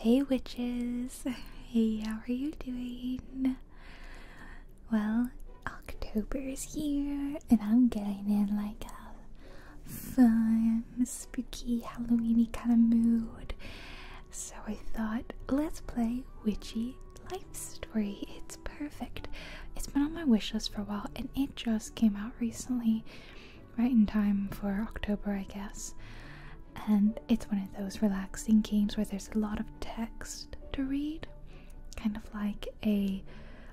Hey, witches! Hey, how are you doing? Well, October's here, and I'm getting in like a fun, spooky, Halloweeny kind of mood. So I thought, let's play Witchy Life Story. It's perfect. It's been on my wish list for a while, and it just came out recently right in time for October, I guess. And it's one of those relaxing games where there's a lot of text to read, kind of like a,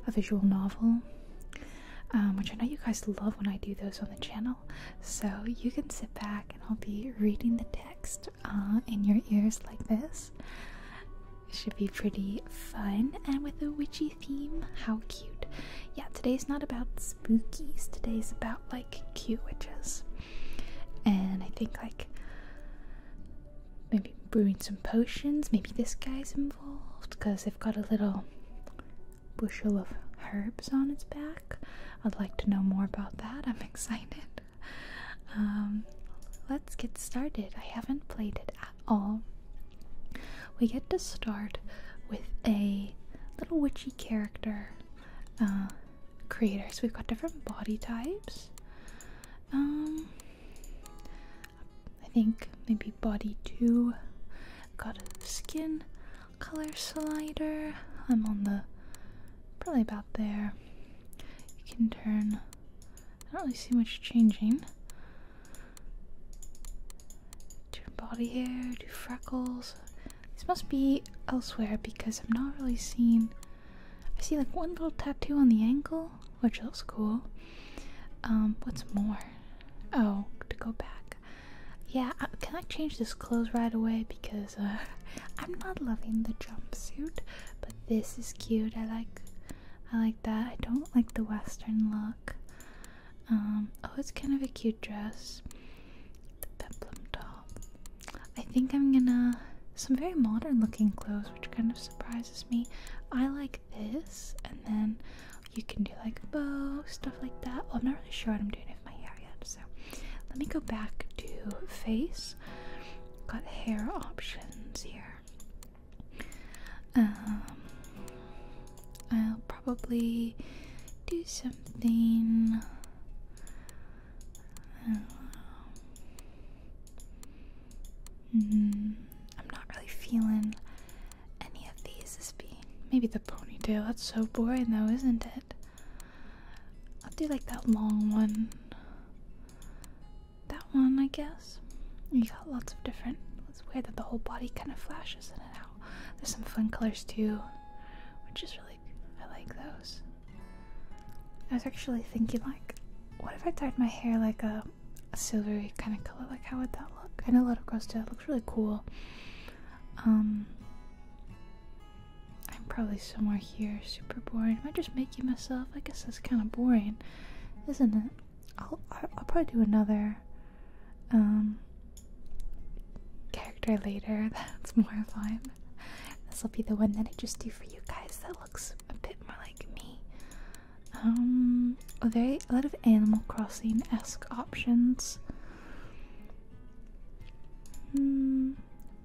a visual novel, um, which I know you guys love when I do those on the channel. So you can sit back and I'll be reading the text uh, in your ears like this. It should be pretty fun and with a witchy theme. How cute! cute. Yeah, today's not about spookies. Today's about like cute witches. And I think like maybe brewing some potions. Maybe this guy's involved because they've got a little bushel of herbs on its back. I'd like to know more about that. I'm excited. Um, let's get started. I haven't played it at all we get to start with a little witchy character uh, creator. So we've got different body types. Um, I think maybe body two. Got skin color slider. I'm on the probably about there. You can turn. I don't really see much changing. Do body hair, do freckles. This must be elsewhere because I'm not really seeing. I see like one little tattoo on the ankle, which looks cool. Um, what's more? Oh, to go back. Yeah, uh, can I change this clothes right away because uh, I'm not loving the jumpsuit, but this is cute. I like, I like that. I don't like the western look. Um, oh, it's kind of a cute dress. The peplum top. I think I'm gonna. Some very modern looking clothes, which kind of surprises me. I like this, and then you can do like bow, stuff like that. Well, I'm not really sure what I'm doing with my hair yet, so let me go back to face. Got hair options here. Um, I'll probably do something. I am um, mm, not really feeling any of these. This be maybe the ponytail. That's so boring, though, isn't it? I'll do like that long one. That one, I guess. You got lots of different. It's weird that the whole body kind of flashes in and out. There's some fun colors too, which is really I like those. I was actually thinking like, what if I dyed my hair like a, silvery kind of color? Like how would that look? I know a lot of girls do. It looks really cool. Um, I'm probably somewhere here, super boring. Am I just making myself? I guess that's kind of boring, isn't it? I'll I'll probably do another um, character later. That's more fun. This will be the one that I just do for you guys. That looks a bit more like me. Um, a very a lot of Animal Crossing esque options. Hmm,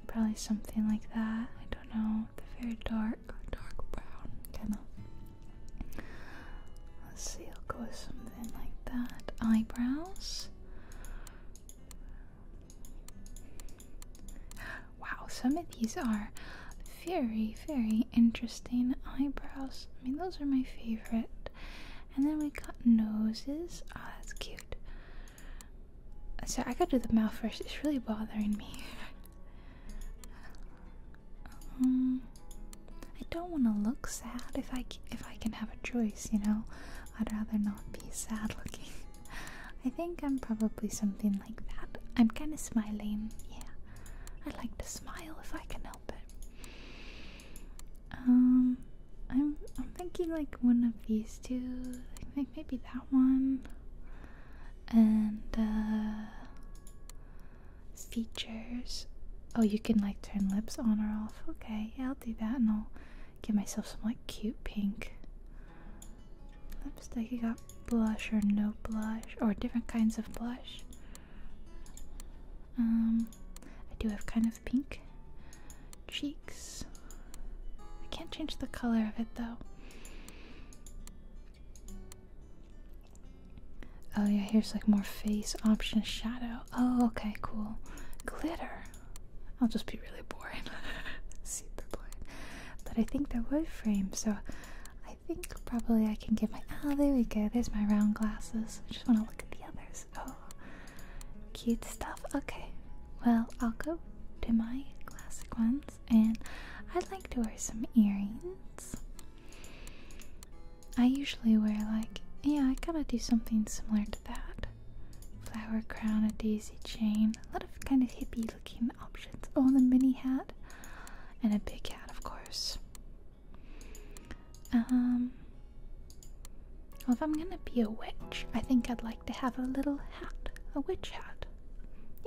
probably something like that. I don't know. The very dark, dark brown kind of. Let's see, I'll go with something like that. Eyebrows. Wow, some of these are very, very interesting eyebrows. I mean, those are my favorite. And then we got noses. Oh, that's cute. So I gotta do the mouth first. It's really bothering me. Um, I don't want to look sad if I if I can have a choice, you know. I'd rather not be sad looking. I think I'm probably something like that. I'm kind of smiling. Yeah. I like to smile if I can help it. Um I'm I'm thinking like one of these two. I think maybe that one. And uh, features. Oh, you can like turn lips on or off. Okay, yeah, I'll do that and I'll give myself some like cute pink lipstick. You got blush or no blush or different kinds of blush. Um, I do have kind of pink cheeks. I can't change the color of it though. Oh yeah, here's like more face option shadow. Oh, okay, cool. Glitter. I'll just be really boring. Super boring. But I think they're wood frame, so I think probably I can give my oh there we go. There's my round glasses. I just wanna look at the others. Oh cute stuff. Okay. Well I'll go to my classic ones and I'd like to wear some earrings. I usually wear like, yeah, I gotta do something similar to that. Flower crown, a daisy chain, a lot of kind of hippie looking options. Oh, the mini hat, and a big hat, of course. Um, well, if I'm gonna be a witch, I think I'd like to have a little hat, a witch hat.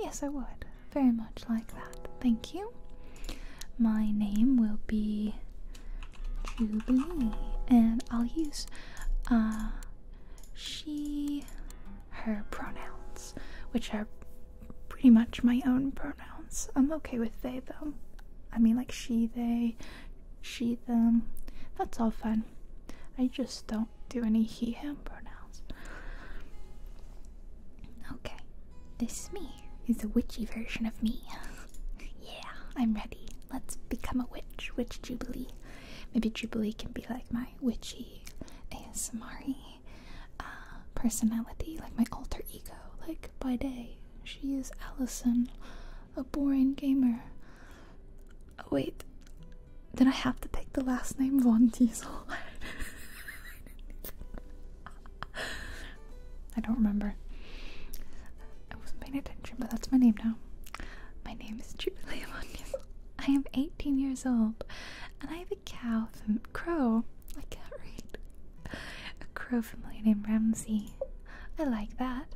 Yes, I would. Very much like that. Thank you. My name will be Jubilee. And I'll use uh, she, her pronouns, which are pretty much my own pronouns. I'm okay with they, though. I mean, like she, they, she, them. That's all fun. I just don't do any he, him pronouns. Okay, this is me is a witchy version of me. yeah, I'm ready. Let's become a witch. Witch Jubilee. Maybe Jubilee can be like my witchy and Samari uh, personality, like my alter ego. Like by day, she is Allison, a boring gamer. Oh, wait, did I have to pick the last name Von Diesel? I don't remember. I wasn't paying attention, but that's my name now. My name is Jubilee Amonius. I am 18 years old, and I have a cow from Crow. I can't read. A crow family named Ramsey. I like that.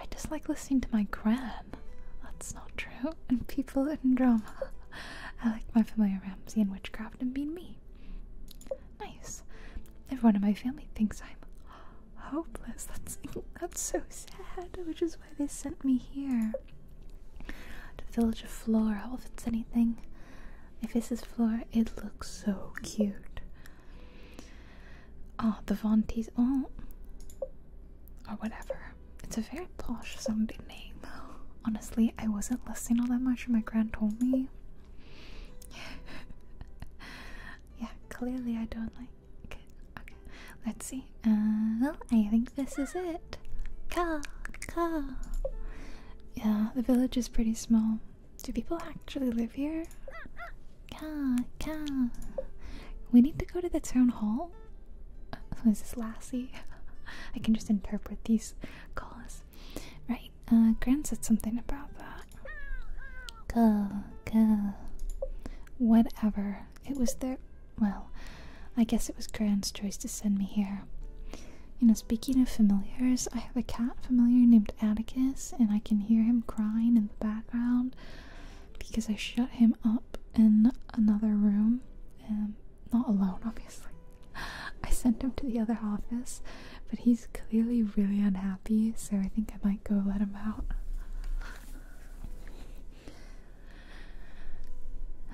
I just like listening to my gran. That's not true. And people and drama. I like my family Ramsey and witchcraft and being me. Nice. Everyone in my family thinks I'm hopeless. That's that's so sad, which is why they sent me here the village of Flora. Oh, if it's anything, if this is Flora, it looks so cute. Oh, the Vontis. Oh, or whatever. It's a very posh sounding name. Honestly, I wasn't listening all that much when my grand told me. yeah, clearly I don't like it. Okay, let's see. well, uh, I think this is it. Ka, ka. Yeah, the village is pretty small. Do people actually live here? Ka, ka. We need to go to the town hall. Uh, so is this Lassie? I can just interpret these calls. Right, uh, right, said something about that. Go, go. Whatever. It was their. Well, I guess it was Gran's choice to send me here. You know, speaking of familiars, I have a cat familiar named Atticus, and I can hear him crying in the background because I shut him up in another room. And um, not alone, obviously. I sent him to the other office but he's clearly really unhappy, so I think I might go let him out.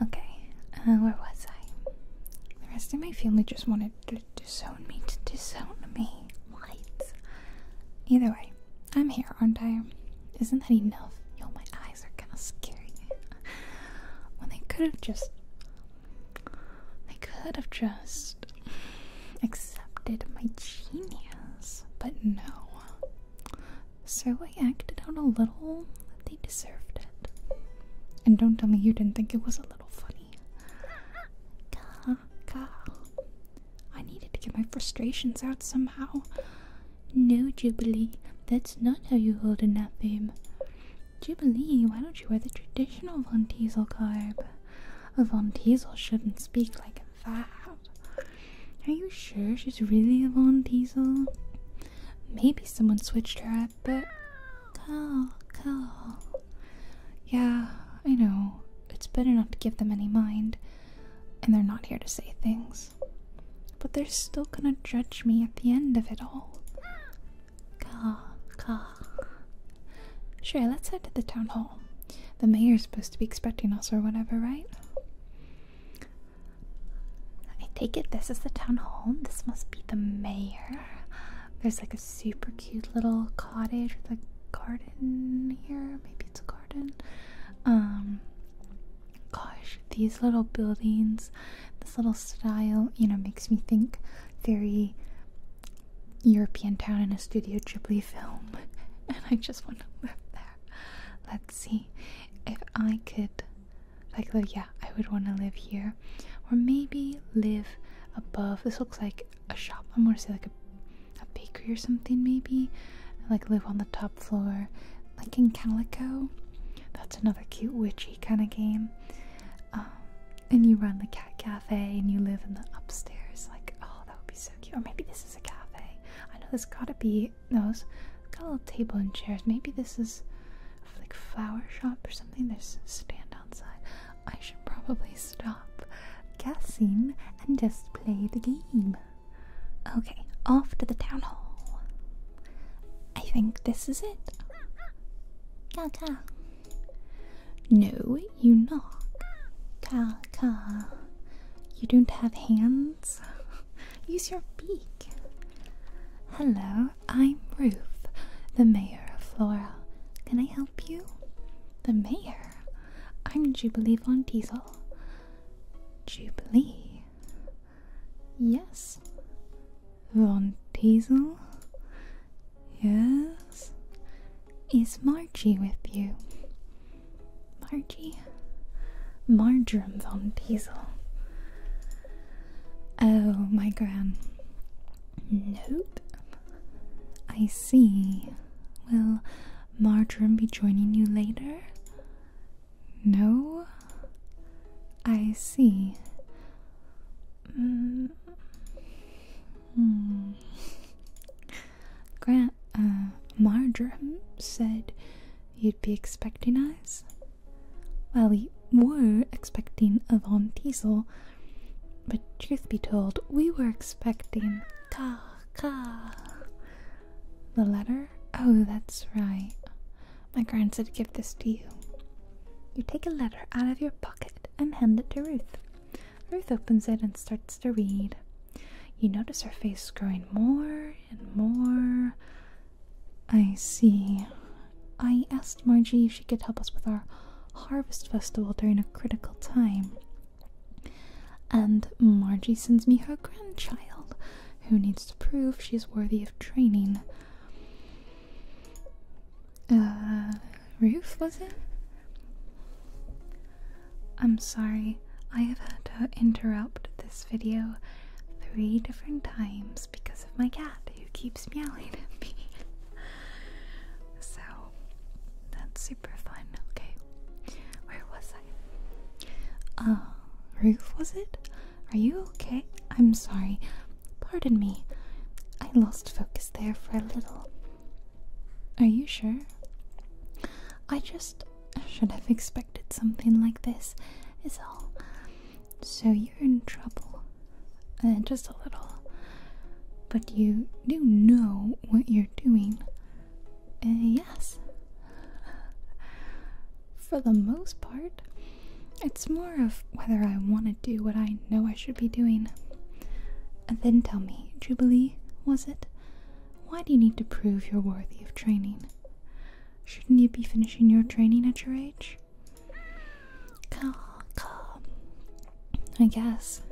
Okay, uh, where was I? The rest of my family just wanted to disown me, to disown me. What? Either way, I'm here, aren't I? Isn't that enough? Yo, my eyes are kind of scary. When well, they could have just I could have just accepted my genius, but no. So I acted out a little. They deserved it. And don't tell me you didn't think it was a little funny. I needed to get my frustrations out somehow. No, Jubilee, that's not how you hold in that fame. Jubilee, why don't you wear the traditional Von Tezel garb? Von Diesel shouldn't speak like that. Are you sure she's really a Von Diesel? Maybe someone switched her up, but. Cool, cool. Yeah, I know. It's better not to give them any mind, and they're not here to say things. But they're still gonna judge me at the end of it all. Sure, let's head to the town hall. The mayor's supposed to be expecting us or whatever, right? I take it this is the town hall. This must be the mayor. There's like a super cute little cottage with a garden here. Maybe it's a garden. Um gosh, these little buildings, this little style, you know, makes me think very European town in a Studio Ghibli film, and I just want to live there. Let's see if I could, like, yeah, I would want to live here, or maybe live above. This looks like a shop. I'm gonna say like a, a bakery or something, maybe. Like live on the top floor, like in Calico. That's another cute witchy kind of game. Um, and you run the cat cafe and you live in the upstairs. Like, oh, that would be so cute. Or maybe this is a cafe. I know there's gotta be those got a little table and chairs. Maybe this is like flower shop or something. There's stand outside. I should probably stop guessing and just play the game. Okay, off to the town hall. I think this is it. Gaga. No, you knock. Ka You don't have hands? Use your beak. Hello, I'm Ruth, the mayor of Flora. Can I help you? The mayor? I'm Jubilee Von Diesel. Jubilee? Yes. Von Diesel? Yes? Is Margie with you? Margie? Marjoram von Diesel. Oh, my gran. Nope. I see. Will Marjoram be joining you later? No? I see. Mm. Grant, uh, Marjoram said you'd be expecting us. Well, we were expecting Yvonne Diesel, but truth be told, we were expecting Ka Ka. The letter? Oh, that's right. My grand said to give this to you. You take a letter out of your pocket and hand it to Ruth. Ruth opens it and starts to read. You notice her face growing more and more. I see. I asked Margie if she could help us with our harvest festival during a critical time. And Margie sends me her grandchild, who needs to prove she's worthy of training uh, roof, was it? I'm sorry, I have had to interrupt this video three different times because of my cat who keeps meowing at me. so, that's super fun. Okay, where was I? Uh, roof, was it? Are you okay? I'm sorry. Pardon me. I lost focus there for a little. Are you sure? I just should have expected something like this, is all. So you're in trouble. Uh, just a little. But you do know what you're doing. Uh, yes. For the most part, it's more of whether I want to do what I know I should be doing. And then tell me, Jubilee, was it? Why do you need to prove you're worthy of training? Shouldn't you be finishing your training at your age? I guess.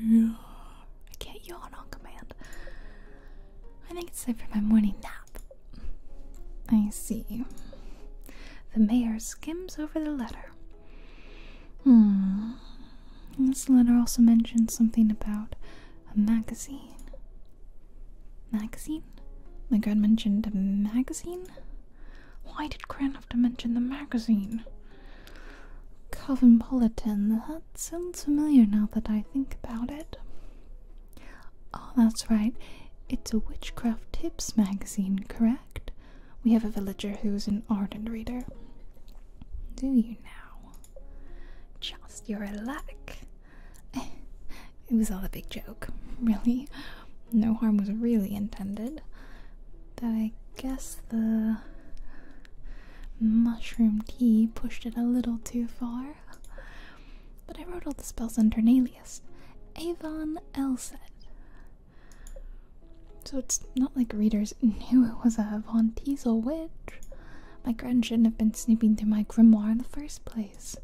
Yeah. I can't on command. I think it's time for my morning nap. I see. The mayor skims over the letter. Hmm. This letter also mentions something about a magazine. Magazine? My god mentioned a magazine? Why did Gran have to mention the magazine? Calvin Bulletin. That sounds familiar now that I think about it. Oh, that's right. It's a witchcraft tips magazine, correct? We have a villager who's an ardent reader. Do you now? Just your luck. it was all a big joke, really. No harm was really intended. Though I guess the mushroom tea pushed it a little too far. But I wrote all the spells under an Avon Elset. So it's not like readers knew it was a Von Tezel witch. My grand shouldn't have been snooping through my grimoire in the first place.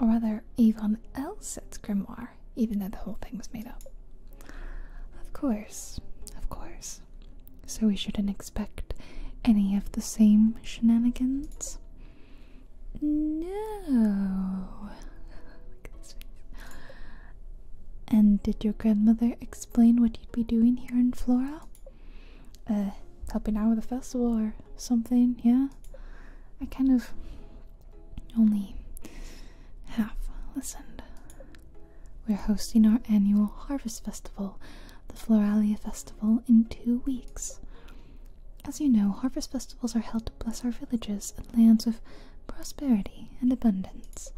Or rather, Avon Elset's grimoire, even though the whole thing was made up. Of course, of course. So we shouldn't expect any of the same shenanigans? No. And did your grandmother explain what you'd be doing here in Flora? Uh, helping out with a festival or something, yeah? I kind of only half listened. We're hosting our annual harvest festival, the Floralia Festival, in two weeks. As you know, harvest festivals are held bless our villages and lands with prosperity and abundance.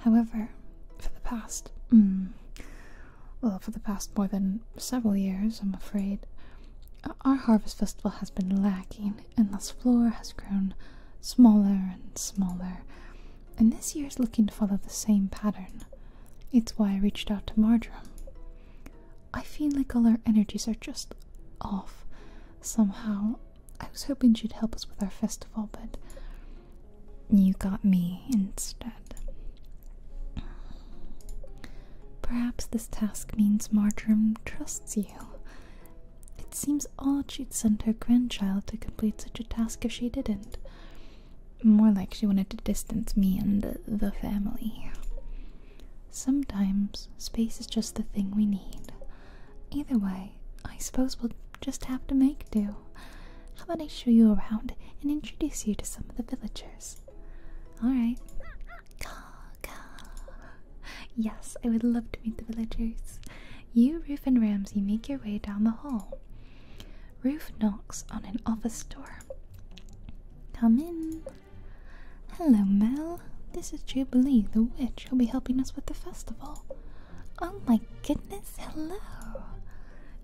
However, for the past, mm, well, for the past more than several years, I'm afraid, uh, our harvest festival has been lacking, and this floor has grown smaller and smaller. And this year is looking to follow the same pattern. It's why I reached out to Marjoram. I feel like all our energies are just off somehow, I was hoping she'd help us with our festival, but you got me instead. Perhaps this task means Marjoram trusts you. It seems odd she'd send her grandchild to complete such a task if she didn't. More like she wanted to distance me and the, the family. Sometimes space is just the thing we need. Either way, I suppose we'll just have to make do. How about I show you around and introduce you to some of the villagers? Alright. Yes, I would love to meet the villagers. You, Ruth, and Ramsey make your way down the hall. Ruth knocks on an office door. Come in. Hello, Mel. This is Jubilee the Witch. She'll be helping us with the festival. Oh my goodness, hello!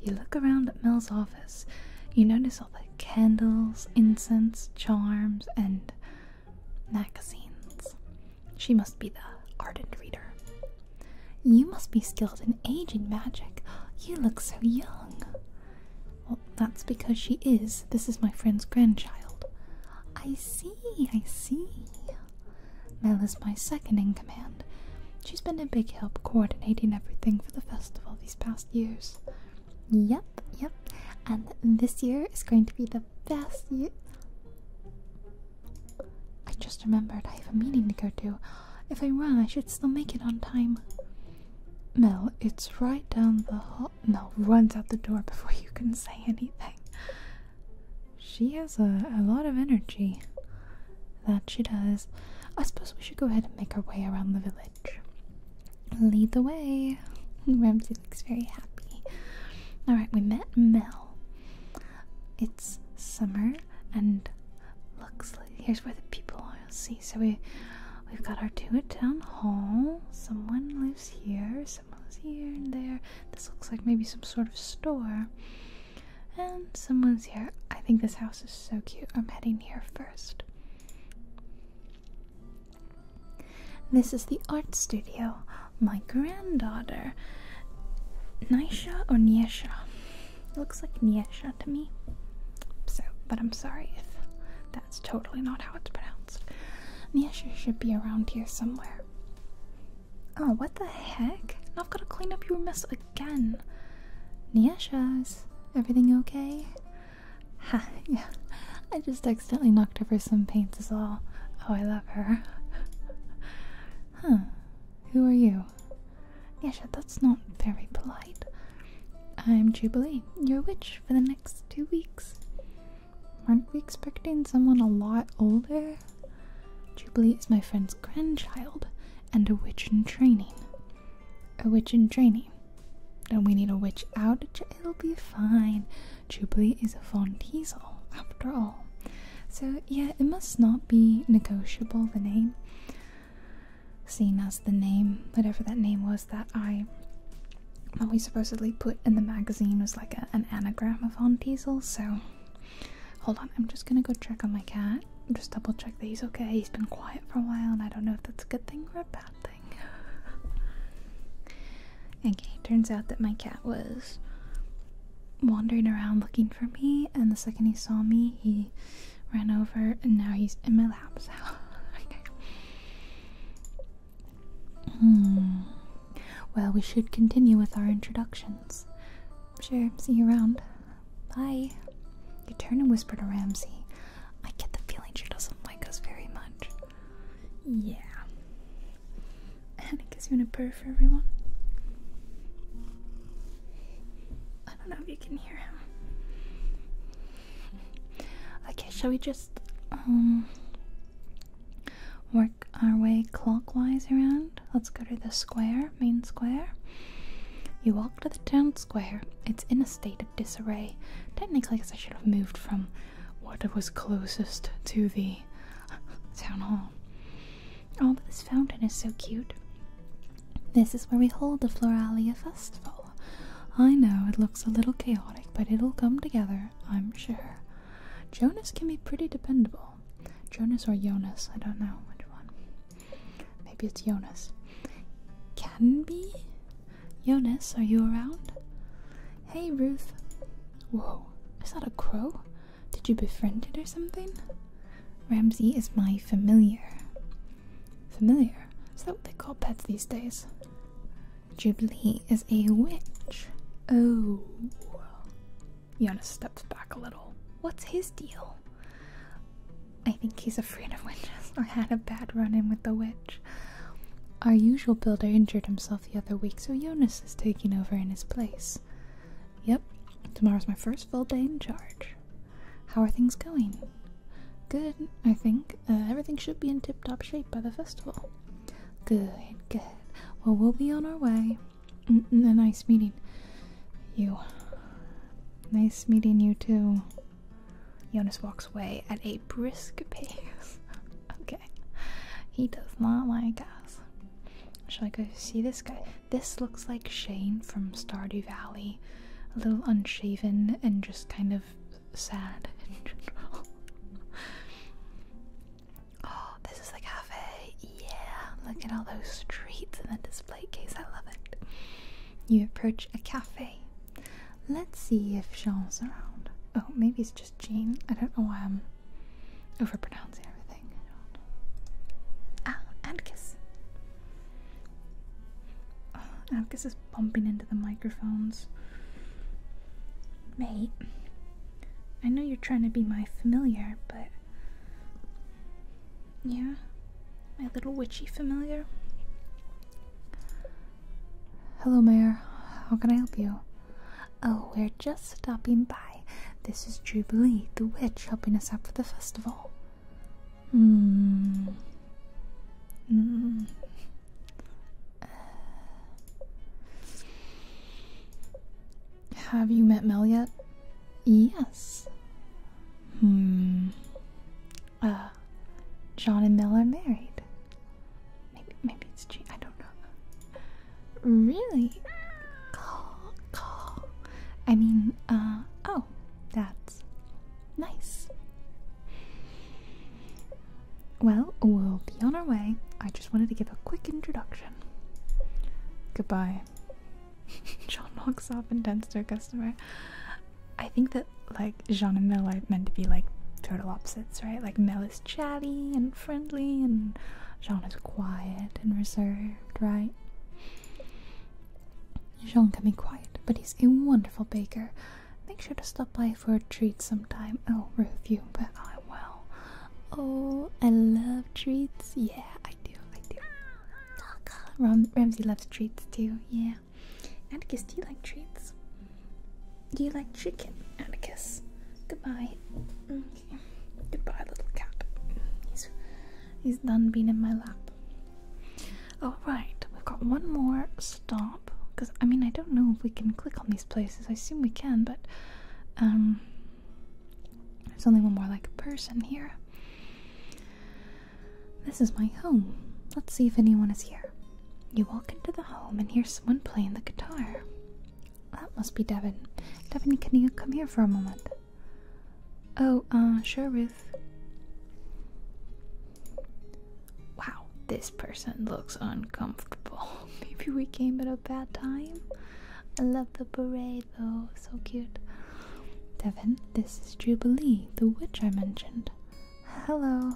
You look around at Mel's office. You notice all the candles, incense, charms, and magazines. She must be the ardent reader. You must be skilled in aging magic. You look so young. Well, that's because she is. This is my friend's grandchild. I see, I see. Mel is my second in command. She's been a big help coordinating everything for the festival these past years. Yep, yep. And this year is going to be the best year. I just remembered I have a meeting to go to. If I run, I should still make it on time. Mel, it's right down the hall. Mel runs out the door before you can say anything. She has a, lot of energy. That she does. I suppose we should go ahead and make our way around the village. Lead the way. Ramsey looks very happy. Alright, we met Mel. It's summer and looks like here's where the people are. see. So we we've got our two at town hall. Someone lives here someone's here and there. This looks like maybe some sort of store. And someone's here. I think this house is so cute. I'm heading here first. This is the art studio. My granddaughter. Nisha or Nisha. Looks like Nisha to me. So, but I'm sorry if that's totally not how it's pronounced. Niesha should be around here somewhere. Oh, what the heck? Now I've got to clean up your mess again. Niesha's, everything okay? yeah. I just accidentally knocked over some paints as well. Oh, I love her. huh. Who are you? Niesha, that's not very polite. I'm Jubilee, your witch for the next two weeks. Aren't we expecting someone a lot older? Jubilee is my friend's grandchild and a witch in training. A witch in training. Don't we need a witch out? It'll be fine. Jubilee is a Von Diesel, after all. So, yeah, it must not be negotiable, the name. Seeing as the name, whatever that name was that I that we supposedly put in the magazine was like an anagram of Aunt Diesel, so hold on, I'm just gonna go check on my cat. Just double check that he's okay. He's been quiet for a while, and I don't know if that's a good thing or a bad thing. okay, turns out that my cat was wandering around looking for me, and the second he saw me, he ran over, and now he's in my lap. Hmm. Well, we should continue with our introductions. Sure, see you around. Bye. You turn and whisper to Ramsey. I get the feeling she doesn't like us very much. Yeah. And I guess you want a purr for everyone? I don't know if you can hear him. Okay, shall we just work? Um, our way clockwise around. Let's go to the square, main square. You walk to the town square. It's in a state of disarray. Technically, I guess I should have moved from what was closest to the town hall. Oh, but this fountain is so cute. This is where we hold the Floralia Festival. I know it looks a little chaotic, but it'll come together, I'm sure. Jonas can be pretty dependable. Jonas or Jonas, I don't know which one. Maybe it's Jonas. Can be? Jonas, are you around? Hey Ruth. Whoa, is that a crow? Did you befriend it or something? Ramsey is my familiar. Familiar? Is that what they call pets these days? Jubilee is a witch. Oh. Yana steps back a little. What's his deal? I think he's afraid of witches or had a bad run in with the witch. Our usual builder injured himself the other week, so Jonas is taking over in his place. Yep, tomorrow's my first full day in charge. How are things going? Good, I think. Uh, everything should be in tip top shape by the festival. Good, good. Well, we'll be on our way. A nice meeting you. Nice meeting you too. Jonas walks away at a brisk pace. okay. He does not like us. Shall I go see this guy? This looks like Shane from Stardew Valley. A little unshaven and just kind of sad in general. Oh, this is the cafe. Yeah, look at all those streets in the display case. I love it. You approach a cafe. Let's see if Jean's around. Oh, maybe it's just Jean. I don't know why I'm overpronouncing everything. Ah, Atticus. Oh, Atticus is bumping into the microphones. Mate, I know you're trying to be my familiar, but. Yeah? My little witchy familiar? Hello, Mayor. How can I help you? Oh, we're just stopping by. This is Jubilee, the witch, helping us out for the festival. Hmm. Mm have you met Mel yet? Yes. Hmm. Uh, John and Mel are married. Maybe, maybe it's G. I don't know. Really? Call, call. I mean, uh, oh, that's nice. Well, we'll be on our way. I just wanted to give a quick introduction. Goodbye. Jean walks off and tends to a customer. I think that like Jean and Mel are meant to be like total opposites, right? Like Mel is chatty and friendly and Jean is quiet and reserved, right? Jean can be quiet, but he's a wonderful baker. Make sure to stop by for a treat sometime. I'll oh, you, but I will. Oh, I love treats. Yeah, I do. I do. Oh, Ramsey loves treats too. Yeah. Atticus, do you like treats? Do you like chicken, Atticus? Goodbye. Okay. Goodbye, little cat. He's he's done being in my lap. All right, we've got one more stop. Cause I mean I don't know if we can click on these places. I assume we can, but um, there's only one more like person here. This is my home. Let's see if anyone is here. You walk into the home and hear someone playing the guitar. That must be Devin. Devin, can you come here for a moment? Oh, uh, sure, Ruth. Wow, this person looks uncomfortable. Maybe we came at a bad time. I love the beret, though, so cute. Devin, this is Jubilee, the witch I mentioned. Hello.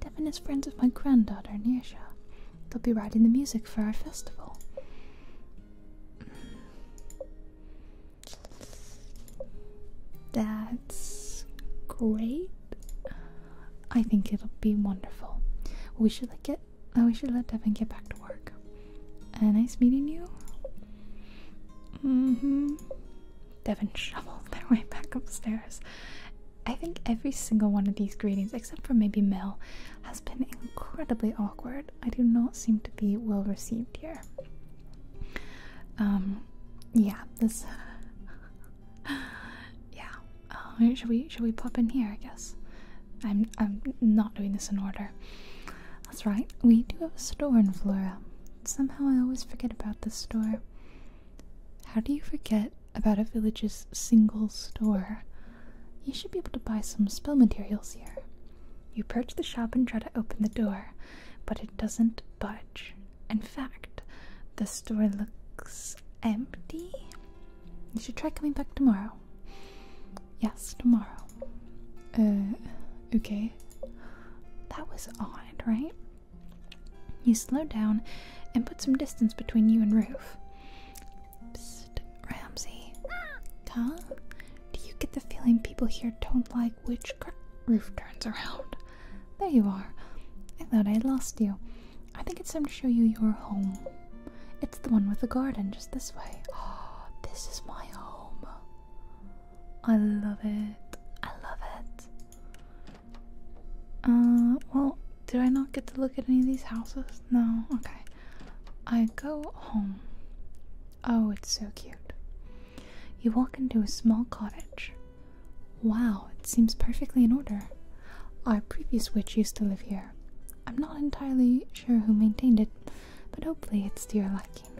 Devin is friends with my granddaughter, Nisha. They'll be writing the music for our festival. That's great. I think it'll be wonderful. We should like get oh we should let Devin get back to work. Uh, nice meeting you. Mm-hmm. Devin shoveled their way back upstairs. I think every single one of these greetings, except for maybe Mel, has been incredibly awkward. I do not seem to be well received here. Um, yeah, this yeah. Uh, should we should we plop in here? I guess. I'm I'm not doing this in order. That's right. We do have a store in Flora. Somehow I always forget about this store. How do you forget about a village's single store? You should be able to buy some spell materials here. You approach the shop and try to open the door, but it doesn't budge. In fact, the store looks empty. You should try coming back tomorrow. Yes, tomorrow. Uh, okay. That was odd, right? You slow down and put some distance between you and Roof. Psst, Huh? Do you get the feeling people here don't like witchcraft? Roof turns around. There you are. I thought I lost you. I think it's time to show you your home. It's the one with the garden just this way. Oh, this is my home. I love it. I love it. Uh, well, did I not get to look at any of these houses? No. Okay. I go home. Oh, it's so cute. You walk into a small cottage. Wow, it seems perfectly in order. Our previous witch used to live here. I'm not entirely sure who maintained it, but hopefully it's to your liking.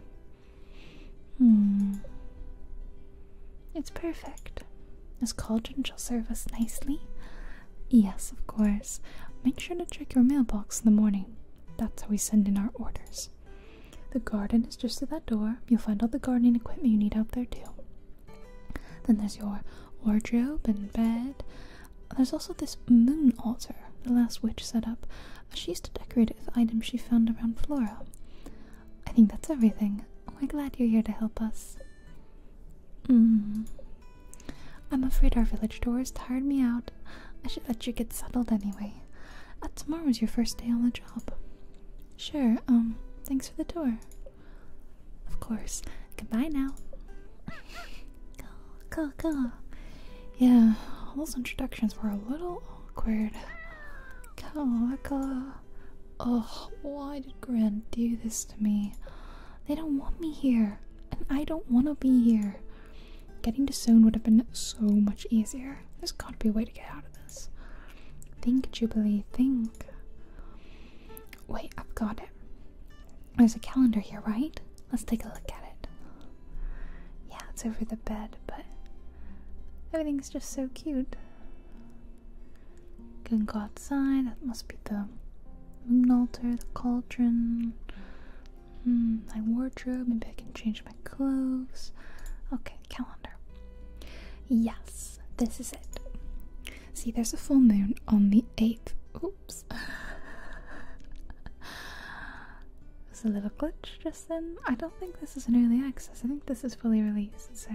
Hmm. It's perfect. This cauldron shall serve us nicely. Yes, of course. Make sure to check your mailbox in the morning. That's how we send in our orders. The garden is just to that door. You'll find all the gardening equipment you need out there, too. Then there's your wardrobe and bed. There's also this moon altar the last witch set up. She used to decorate it with items she found around Flora. I think that's everything. We're oh, glad you're here to help us. Mm. I'm afraid our village door has tired me out. I should let you get settled anyway. Uh, tomorrow's your first day on the job. Sure, um, thanks for the tour. Of course. Goodbye now. go, go, go. Yeah, all those introductions were a little awkward. Go, go. Oh, why did Gran do this to me? They don't want me here, and I don't want to be here. Getting to Soon would have been so much easier. There's got to be a way to get out of this. Think, Jubilee, think. Wait, I've got it. There's a calendar here, right? Let's take a look at it. Yeah, it's over the bed, but everything's just so cute. Can go outside. That must be the moon altar, the cauldron. Hmm, my wardrobe. Maybe I can change my clothes. Okay, calendar. Yes, this is it. See, there's a full moon on the 8th. Oops. There's a little glitch just then. I don't think this is an early access. I think this is fully released, so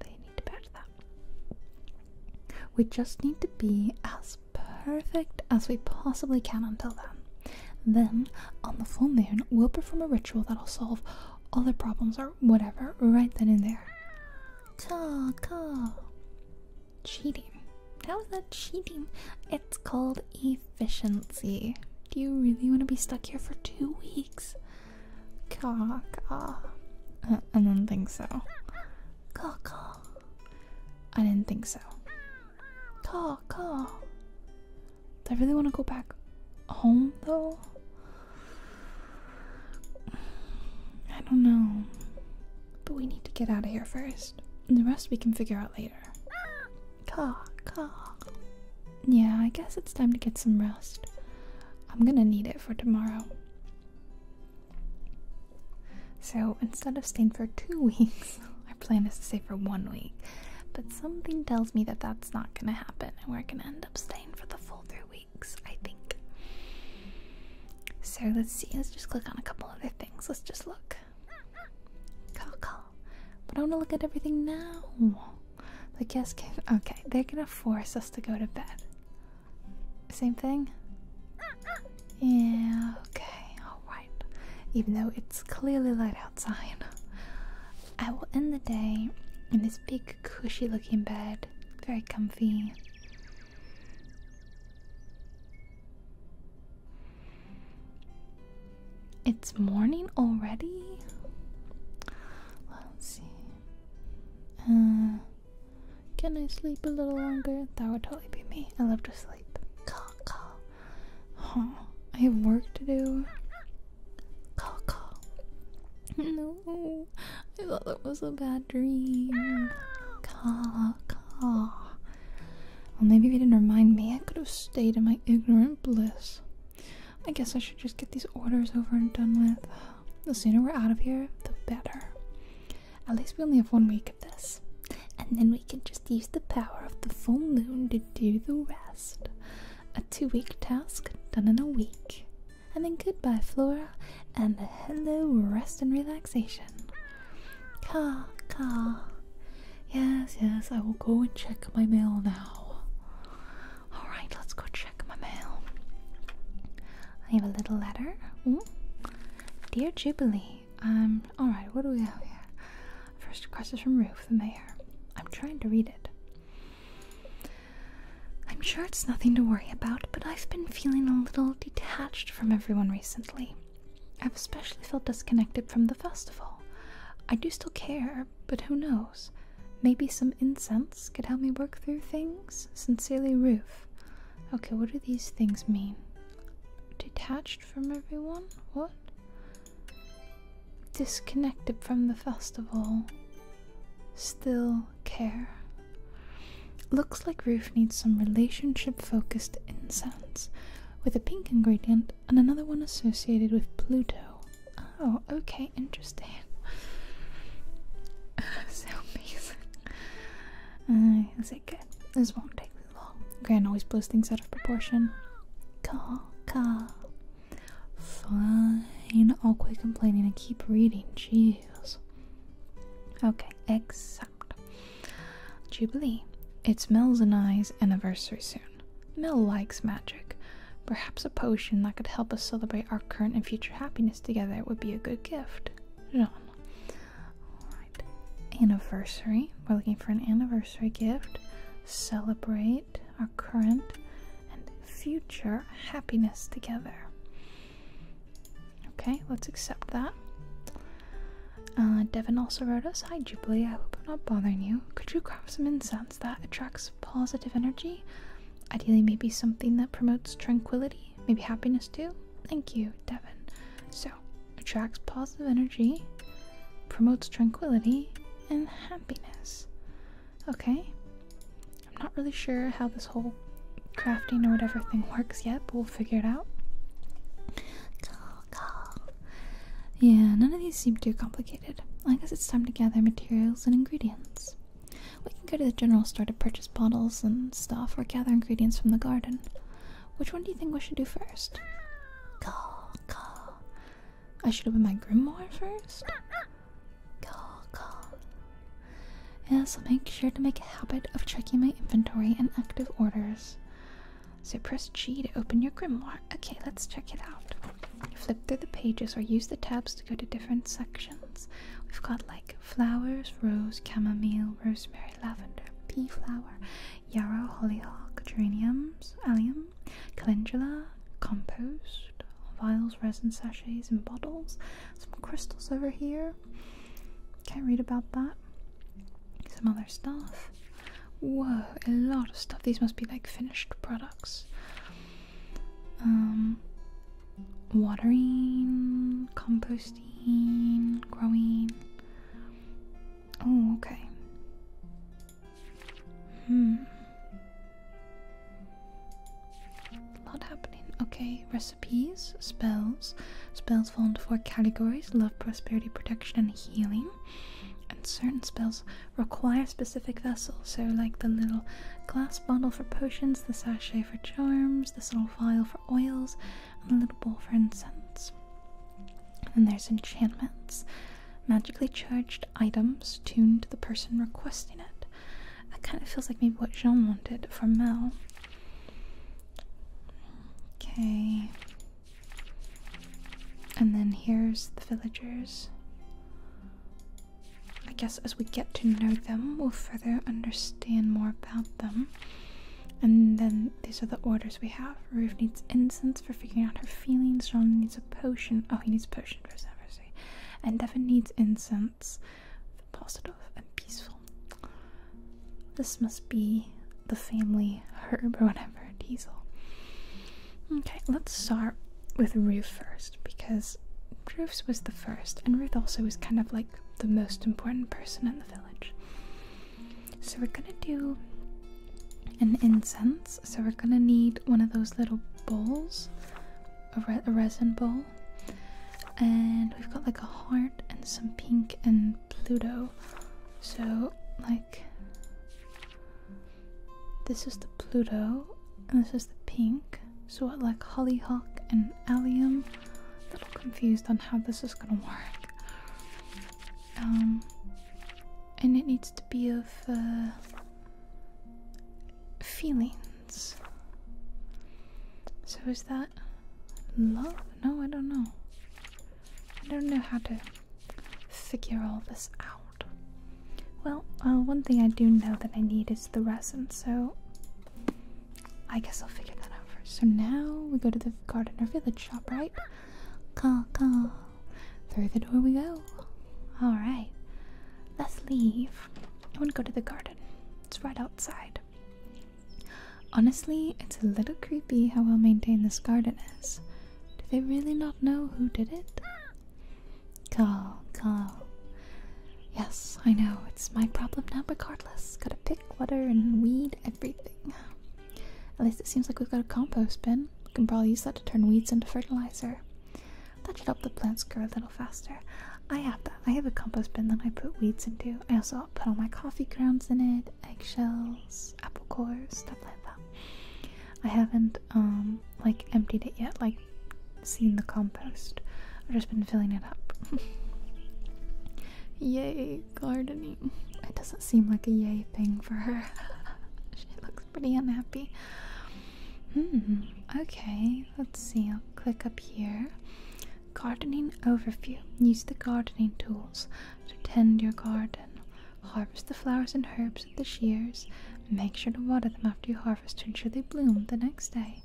they need to patch that. We just need to be as perfect as we possibly can until then. Then, on the full moon, we'll perform a ritual that'll solve all the problems or whatever right then and there talk, talk. Cheating. How is that cheating? It's called efficiency. Do you really want to be stuck here for two weeks? Caw-caw. I uh, don't think so. Caw-caw. I didn't think so. Caw-caw. Do I really want to go back home though? I don't know. But we need to get out of here first. And the rest we can figure out later. Yeah, I guess it's time to get some rest. I'm gonna need it for tomorrow. So instead of staying for two weeks, our plan is to stay for one week. But something tells me that that's not gonna happen, and we're gonna end up staying for the full three weeks. I think. So let's see, let's just click on a couple other things. Let's just look. But I want to look at everything now. The guests can. Okay, they're gonna force us to go to bed. Same thing? Yeah, okay, alright. Even though it's clearly light outside, I will end the day in this big, cushy looking bed. Very comfy. It's morning already? Let's see. Uh, can I sleep a little longer? That would totally be me. I love to sleep. Call, call. Huh? I have work to do. Call, call. No, no. I thought that was a bad dream. Caw, Well, maybe if you didn't remind me, I could have stayed in my ignorant bliss. I guess I should just get these orders over and done with. The sooner we're out of here, the better. At least we only have one week of this. And then we can just use the power of the full moon to do the rest. A two week task done in a week and then goodbye, Flora, and hello, rest and relaxation. Caw, caw. Yes, yes, I will go and check my mail now. Alright, let's go check my mail. I have a little letter. Dear Jubilee, um, alright, what do we have here? First request is from Ruth, the mayor. I'm trying to read it. I'm sure it's nothing to worry about, but I've been feeling a little detached from everyone recently. I've especially felt disconnected from the festival. I do still care, but who knows? Maybe some incense could help me work through things? Sincerely, Ruth. Okay, what do these things mean? Detached from everyone? What? Disconnected from the festival. Still care. Looks like Roof needs some relationship focused incense with a pink ingredient and another one associated with Pluto. Oh, okay, interesting. so amazing. Uh, is good? This won't take me long. Gran always blows things out of proportion. Call, call. Fine. I'll quit complaining and keep reading. Jeez. Okay, except Jubilee. It's Mel's and I's anniversary soon. Mel likes magic. Perhaps a potion that could help us celebrate our current and future happiness together would be a good gift. Jean. Anniversary. We're looking for an anniversary gift. Celebrate our current and future happiness together. Okay, let's accept that. Uh, Devin also wrote us Hi, Jubilee. I hope I'm not bothering you. Could you craft some incense that attracts positive energy? Ideally, maybe something that promotes tranquility, maybe happiness too. Thank you, Devin. So, attracts positive energy, promotes tranquility, and happiness. Okay. I'm not really sure how this whole crafting or whatever thing works yet, but we'll figure it out. Yeah, none of these seem too complicated. I guess it's time to gather materials and ingredients. We can go to the general store to purchase bottles and stuff, or gather ingredients from the garden. Which one do you think we should do first? Cool, cool. I should open my grimoire first? Call, call. Yeah, so make sure to make a habit of checking my inventory and active orders. So press G to open your grimoire. Okay, let's check it out. Flip through the pages or use the tabs to go to different sections. We've got like flowers, rose, chamomile, rosemary, lavender, pea flower, yarrow, hollyhock, geraniums, allium, calendula, compost, vials, resin sachets, and bottles. Some crystals over here. Can't read about that. Some other stuff. Whoa, a lot of stuff. These must be like finished products. Um, watering, composting, growing. Oh, okay. Hmm. Not happening. Okay, recipes, spells, spells fall into four categories love, prosperity, protection, and healing. And certain spells require specific vessels, so like the little glass bottle for potions, the sachet for charms, this little vial for oils, and the little bowl for incense. And there's enchantments magically charged items tuned to the person requesting it. That kind of feels like maybe what Jean wanted for Mel. Okay. And then here's the villagers. I guess as we get to know them, we'll further understand more about them. And then these are the orders we have. Ruth needs incense for figuring out her feelings. Jean needs a potion. Oh, he needs a potion for his And Devin needs incense intense, positive, and peaceful. This must be the family herb or whatever, diesel. Okay, let's start with Ruth first because Ruth was the first, and Ruth also was kind of like the most important person in the village. So we're gonna do an incense. So we're gonna need one of those little bowls, a resin bowl, and we've got like a heart and some pink and Pluto. So, like, this is the Pluto, and this is the pink. So, what, like, hollyhock and allium? A little confused on how this is gonna work. Um, and it needs to be of uh, feelings. So is that love? No, I don't know. I don't know how to figure all this out. Well, uh, one thing I do know that I need is the resin, so I guess I'll figure that out first. So now we go to the garden or village shop, right? Call, call. Through the door we go. Alright. Let's leave. I want to go to the garden it's right outside. Honestly, it's a little creepy how well maintained this garden is. Do they really not know who did it? Call, call. Yes, I know, it's my problem now But regardless. Gotta pick, water, and weed everything. At least it seems like we've got a compost bin. We can probably use that to turn weeds into fertilizer. That should help the plants grow a little faster. I have that. I have a compost bin that I put weeds into. I also put all my coffee grounds in it, eggshells, apple cores, stuff like that. I haven't um like emptied it yet, like seen the compost. I've just been filling it up. yay, gardening. It doesn't seem like a yay thing for her. she looks pretty unhappy. Hmm, okay, let's see. I'll click up here. Gardening overview. Use the gardening tools to tend your garden. Harvest the flowers and herbs with the shears. Make sure to water them after you harvest to ensure they bloom the next day.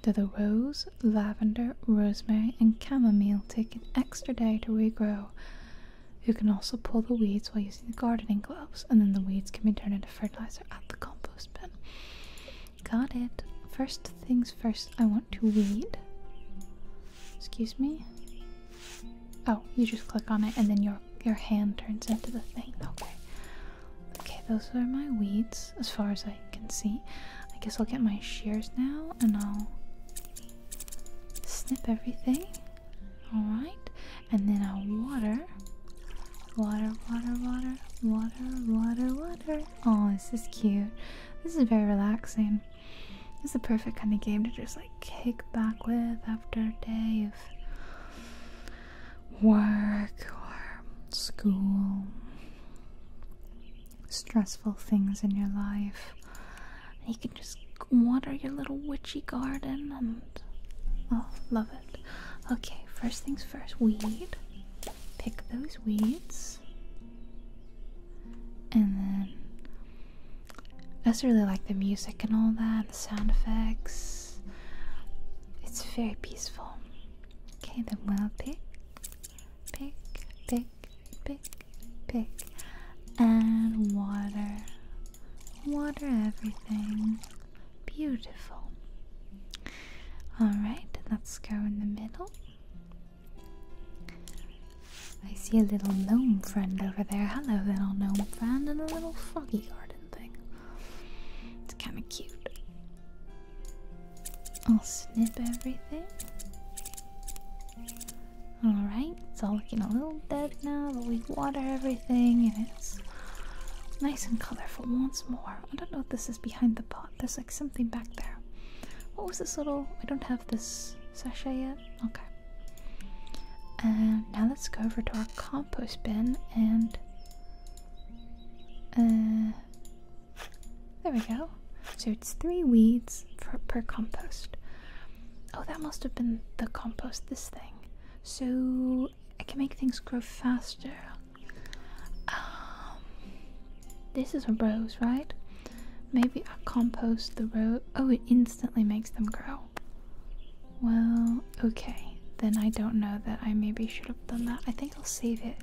Do the rose, lavender, rosemary, and chamomile take an extra day to regrow? You can also pull the weeds while using the gardening gloves, and then the weeds can be turned into fertilizer at the compost bin. Got it. First things first, I want to weed. Excuse me? Oh, you just click on it and then your your hand turns into the thing. Okay. Okay, those are my weeds as far as I can see. I guess I'll get my shears now and I'll snip everything. Alright. And then I'll water water. Water, water, water, water, water, water. Oh, this is cute. This is very relaxing. This is the perfect kind of game to just like kick back with after a day of work or school, stressful things in your life. You can just water your little witchy garden and oh, love it. Okay, first things first weed. Pick those weeds. And then. I just really like the music and all that, the sound effects. It's very peaceful. Okay, then we'll pick, pick, pick, pick, pick, and water. Water everything. Beautiful. Alright, let's go in the middle. I see a little gnome friend over there. Hello, little gnome friend, and a little foggy garden thing. It's kind of cute. I'll snip everything. Alright, it's all looking a little dead now, but we water everything and it's nice and colorful once more. I don't know if this is behind the pot. There's like something back there. What was this little? I don't have this sachet yet. Okay. And now let's go over to our compost bin and. Uh, there we go. So it's three weeds per compost. Oh, that must have been the compost, this thing. So I can make things grow faster. Um, this is a rose, right? Maybe I compost the rose. Oh, it instantly makes them grow. Well, okay. Then I don't know that I maybe should have done that. I think I'll save it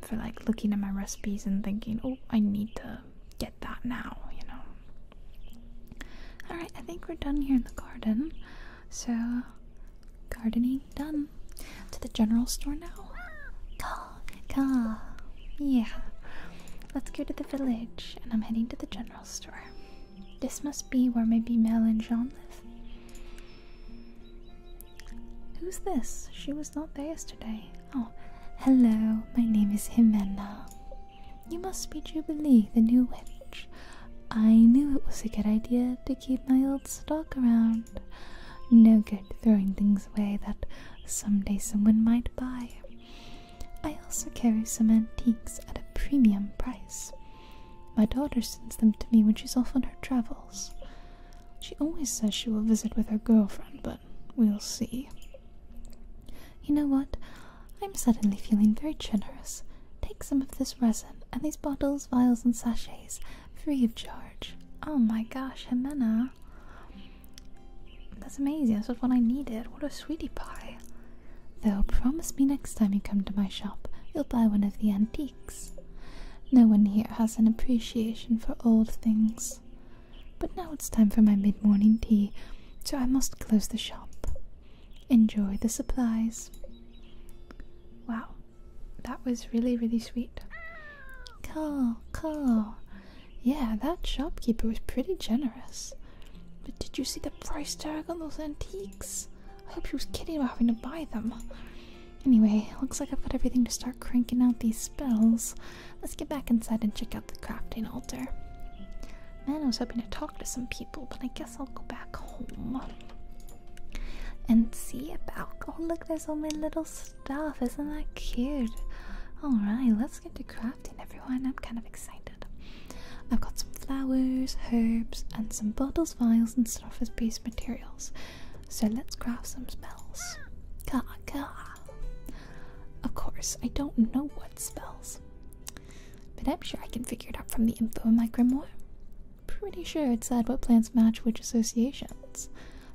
for like looking at my recipes and thinking, oh, I need to get that now, you know. Alright, I think we're done here in the garden. So, gardening done. To the general store now. Call, call. Yeah. Let's go to the village, and I'm heading to the general store. This must be where maybe Mel and Jean live. Who's this? She was not there yesterday. Oh, hello. My name is Jimena. You must be Jubilee, the new witch. I knew it was a good idea to keep my old wild stock around. No good throwing things away that someday someone might buy. I also carry some antiques at a premium price. My daughter sends them to me when she's off on her travels. She always says she will visit with her girlfriend, but we'll see. You know what? I'm suddenly feeling very generous. Take some of this resin and these bottles, vials, and sachets free of charge. Oh my gosh, Jimena. That's amazing. That's what I needed. What a sweetie pie. Though, promise me next time you come to my shop, you'll buy one of the antiques. No one here has an appreciation for old things. But now it's time for my mid morning tea, so I must close the shop. Enjoy the supplies. Wow, that was really, really sweet. Cool, cool. Yeah, that shopkeeper was pretty generous. But did you see the price tag on those antiques? I hope she was kidding about having to buy them. Anyway, looks like I've got everything to start cranking out these spells. Let's get back inside and check out the crafting altar. Man, I was hoping to talk to some people, but I guess I'll go back home and see about. Oh, look, there's all my little stuff. Isn't that cute? Alright, let's get to crafting, everyone. I'm kind of excited. I've got some flowers, herbs, and some bottles, vials, and stuff as base materials. So let's craft some spells. Gah, gah. Of course, I don't know what spells, but I'm sure I can figure it out from the info in my grimoire. Pretty sure it said what plants match which associations.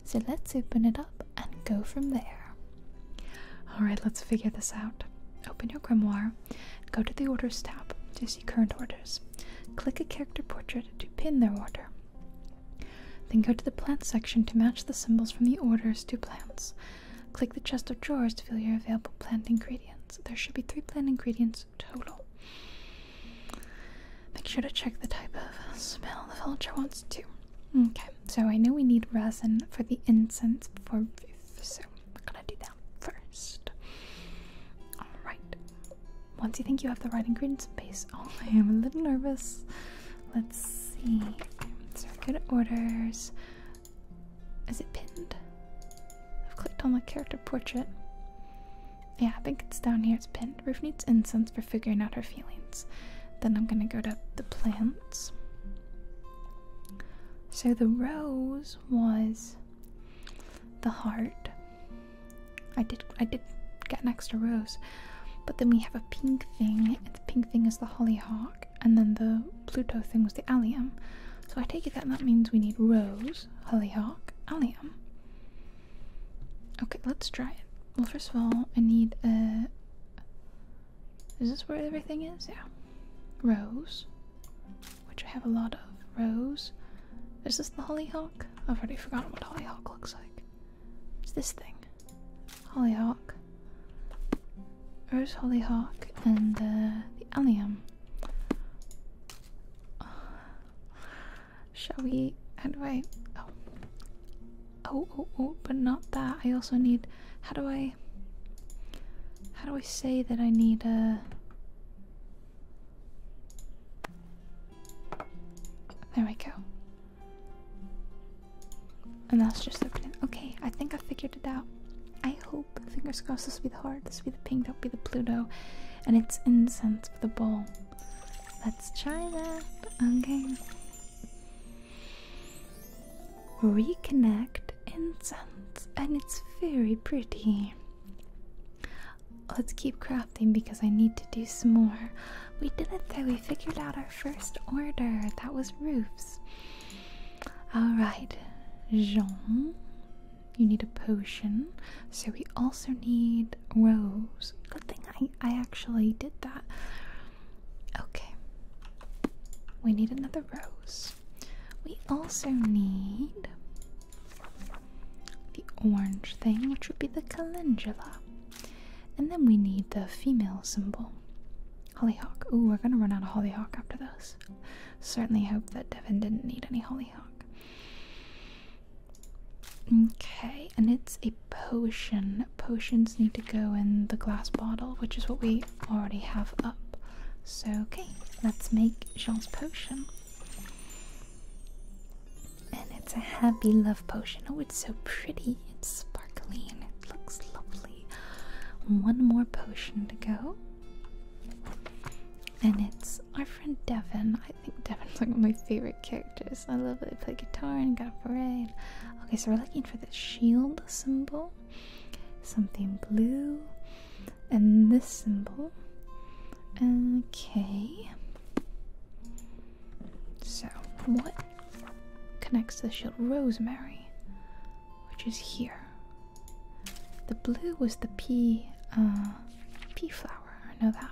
So let's open it up and go from there. Alright, let's figure this out. Open your grimoire, go to the orders tab to see current orders. Click a character portrait to pin their order. Then go to the plants section to match the symbols from the orders to plants. Click the chest of drawers to fill your available plant ingredients. There should be three plant ingredients total. Make sure to check the type of smell the villager wants too. Okay, so I know we need resin for the incense for roof, so we're gonna do that first. Alright. Once you think you have the right ingredients base, oh I am a little nervous. Let's see. Circuit orders. Is it pinned? I've clicked on the character portrait yeah, I think it's down here. It's pinned. Ruth needs incense for figuring out her feelings. Then I'm gonna go to the plants. So the rose was the heart. I did I did get an extra rose. But then we have a pink thing. The pink thing is the hollyhock, and then the Pluto thing was the allium. So I take it that that means we need rose, hollyhock, allium. Okay, let's try it. Well, first of all, I need a. Is this where everything is? Yeah. Rose, which I have a lot of. Rose. Is this the hollyhock? I've already forgotten what hollyhock looks like. It's this thing. Hollyhock. Rose, hollyhock, and uh, the allium. Shall we? How do I? Oh. oh. oh, oh, But not that. I also need. How do I? How do I say that I need a? Uh, there we go. And that's just opening. Okay, I think I figured it out. I hope. Fingers crossed. This will be the heart. This will be the pink. That'll be the Pluto and it's incense for the bowl. Let's try that. Okay. Reconnect incense, and it's very pretty. Let's keep crafting because I need to do some more. We did it though, we figured out our first order. That was roofs. Alright, Jean, you need a potion. So we also need rose. Good thing I, I actually did that. Okay. We need another rose. We also need the orange thing, which would be the calendula. And then we need the female symbol. Hollyhock. Oh, we're gonna run out of hollyhock after this. Certainly hope that Devin didn't need any hollyhock. Okay, and it's a potion. Potions need to go in the glass bottle, which is what we already have up. So, okay, let's make Jean's potion. And it's a happy love potion. Oh, it's so pretty. It's sparkly and it looks lovely. One more potion to go. And it's our friend Devin. I think Devin's like one of my favorite characters. I love that they play guitar and got a parade. Okay, so we're looking for the shield symbol, something blue, and this symbol. Okay. So, what connects the shield? Rosemary, which is here. The blue was the p. Uh, pea flower, I know that.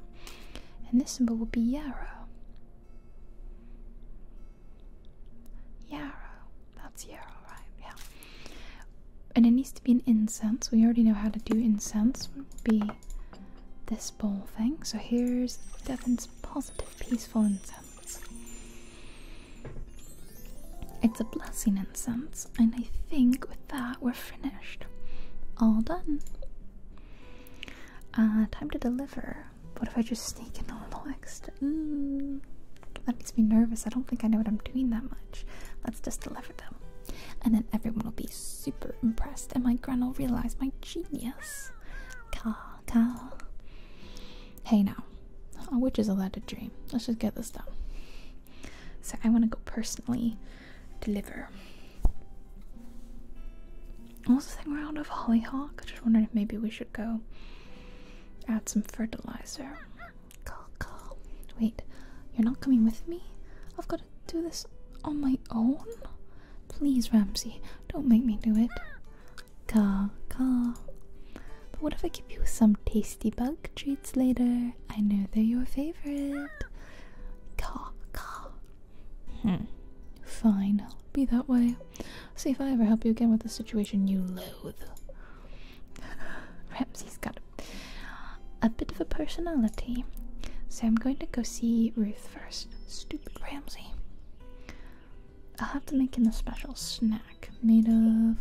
And this symbol will be yarrow. Yarrow. That's yarrow, right? Yeah. And it needs to be an incense. We already know how to do incense. Would be this bowl thing. So here's Devon's positive, peaceful incense. It's a blessing incense, and I think with that we're finished. All done. Uh, time to deliver. What if I just sneak in on the next? Mm, that makes me nervous. I don't think I know what I'm doing that much. Let's just deliver them. And then everyone will be super impressed, and my gran will realize my genius. Car, car. Hey now, a witch is allowed to dream. Let's just get this done. So I want to go personally deliver. Also, thing around of hollyhock. Just wondering if maybe we should go add some fertilizer. Call, call. Wait, you're not coming with me? I've got to do this on my own. Please, Ramsey, don't make me do it. Caw, caw. But what if I give you some tasty bug treats later? I know they're your favorite. Caw, caw. Hmm. Fine. Be that way. See if I ever help you again with a situation you loathe. Perhaps he has got a bit of a personality. So I'm going to go see Ruth first. Stupid Ramsey. I'll have to make him a special snack made of.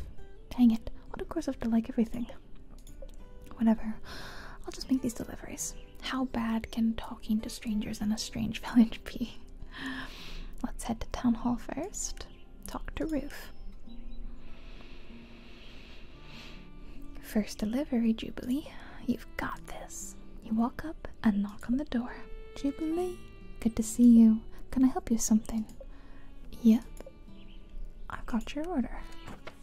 Dang it. What of course have to like everything. Whatever. I'll just make these deliveries. How bad can talking to strangers in a strange village be? Let's head to town hall first. Talk to Ruth. First delivery, Jubilee. You've got this. You walk up and knock on the door. Jubilee, good to see you. Can I help you with something? Yep, I've got your order.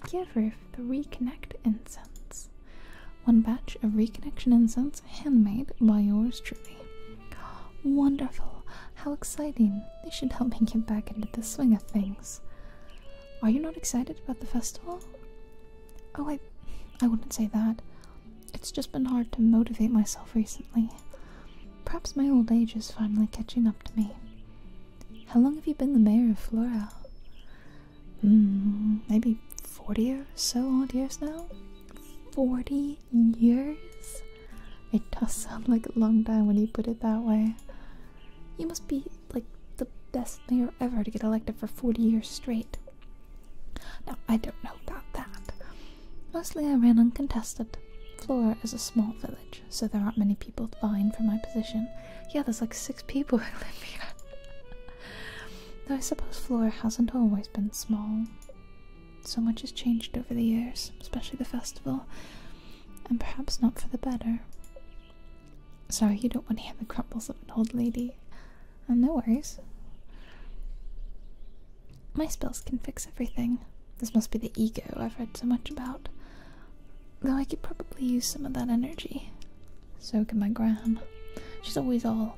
Give Ruth the Reconnect Incense. One batch of Reconnection Incense handmade by yours truly. Wonderful! How exciting! This should help me get back into the swing of things. Are you not excited about the festival? Oh, I, I wouldn't say that. It's just been hard to motivate myself recently. Perhaps my old age is finally catching up to me. How long have you been the mayor of Flora? Hmm, maybe 40 or so odd years now? 40 years? It does sound like a long time when you put it that way. You must be like the best mayor ever to get elected for 40 years straight. Now, I don't know about that. Mostly I ran uncontested. Flora is a small village so there aren't many people vying for my position. Yeah, there's like six people who here. Though I suppose Flora hasn't always been small. So much has changed over the years, especially the festival, and perhaps not for the better. Sorry, you don't want to hear the crumbles of an old lady. Oh, no worries. My spells can fix everything. This must be the ego I've read so much about. Though I could probably use some of that energy. So can my grandma. She's always all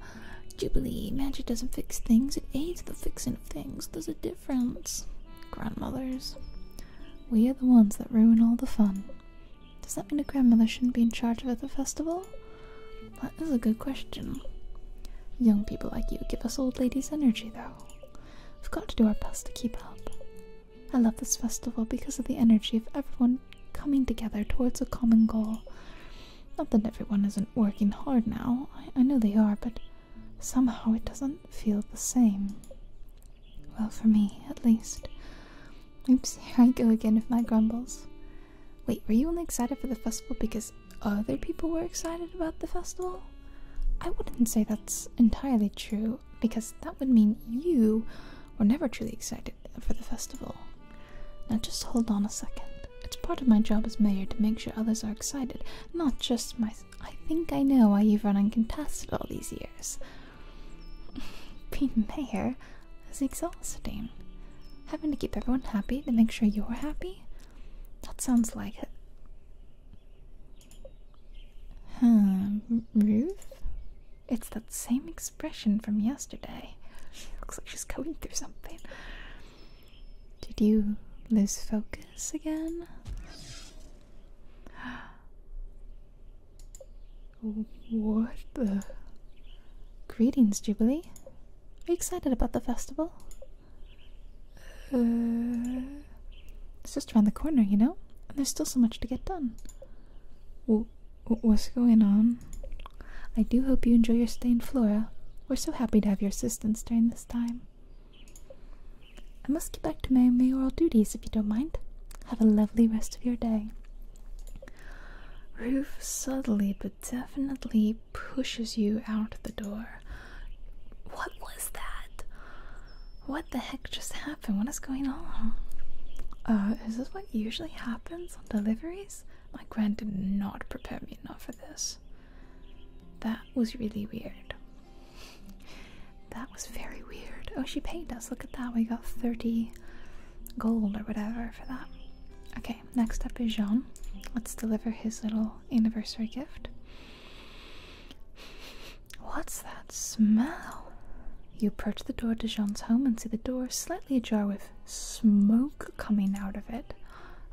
jubilee. Magic doesn't fix things, it aids the fixing of things. There's a difference. Grandmothers. We are the ones that ruin all the fun. Does that mean a grandmother shouldn't be in charge of the festival? That is a good question. Young people like you give us old ladies energy, though. We've got to do our best to keep up. I love this festival because of the energy of everyone coming together towards a common goal. Not that everyone isn't working hard now, I, know they are, but somehow it doesn't feel the same. Well, for me, at least. Oops, here I go again with my grumbles. Wait, were you only excited for the festival because other people were excited about the festival? I wouldn't say that's entirely true because that would mean you were never truly excited for the festival. Now just hold on a second. It's part of my job as mayor to make sure others are excited, not just my. I think I know why you've run uncontested all these years. Being mayor is exhausting. Having to keep everyone happy to make sure you're happy? That sounds like it. Huh, hmm, Ruth? It's that same expression from yesterday. She looks like she's going through something. Did you lose focus again? What the? Greetings, Jubilee. Are you excited about the festival? Uh, it's just around the corner, you know? And there's still so much to get done. W what's going on? I do hope you enjoy your stay in Flora. We're so happy to have your assistance during this time. I must get back to my mayoral duties if you don't mind. Have a lovely rest of your day. Ruth subtly but definitely pushes you out the door. What was that? What the heck just happened? What is going on? Uh, is this what usually happens on deliveries? My grand did not prepare me enough for this. That was really weird. That was very weird. Oh, she paid us. Look at that. We got 30 gold or whatever for that. Okay, next up is Jean. Let's deliver his little anniversary gift. What's that smell? You approach the door to Jean's home and see the door slightly ajar with smoke coming out of it.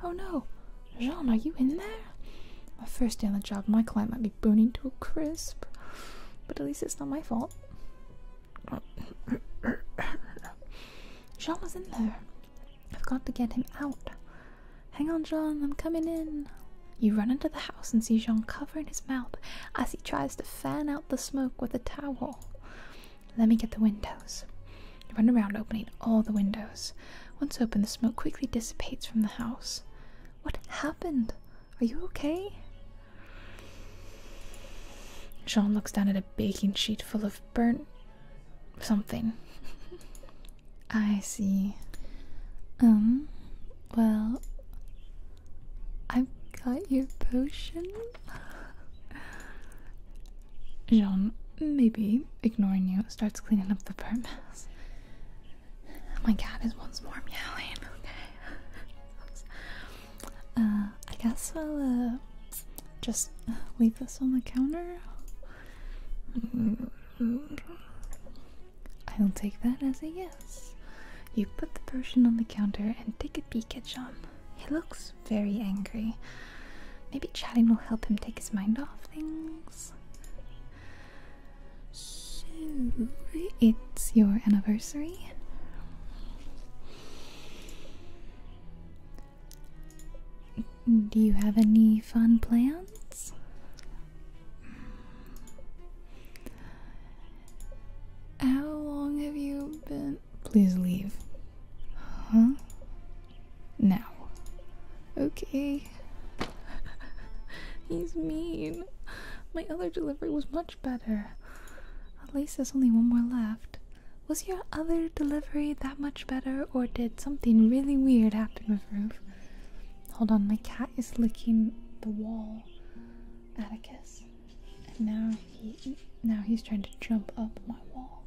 Oh no, Jean, are you in there? My first day on the job, my client might be burning to a crisp, but at least it's not my fault. Jean was in there. I've got to get him out. Hang on, Jean, I'm coming in. You run into the house and see Jean covering his mouth as he tries to fan out the smoke with a towel. Let me get the windows. You run around opening all the windows. Once open, the smoke quickly dissipates from the house. What happened? Are you okay? Jean looks down at a baking sheet full of burnt something. I see. Um, well, I've got your potion. Jean, maybe, ignoring you, starts cleaning up the burnt mess. My cat is once more meowing. Okay. Uh, I guess i will uh, just uh, leave this on the counter. I'll take that as a yes. You put the potion on the counter and take a peek at Jean. He looks very angry. Maybe chatting will help him take his mind off things. So, it's your anniversary. Do you have any fun plans? How long have you been? Please leave. Huh? Now. Okay. He's mean. My other delivery was much better. At least there's only one more left. Was your other delivery that much better, or did something really weird happen with Ruth? Hold on, my cat is licking the wall. Atticus, and now he now he's trying to jump up my wall.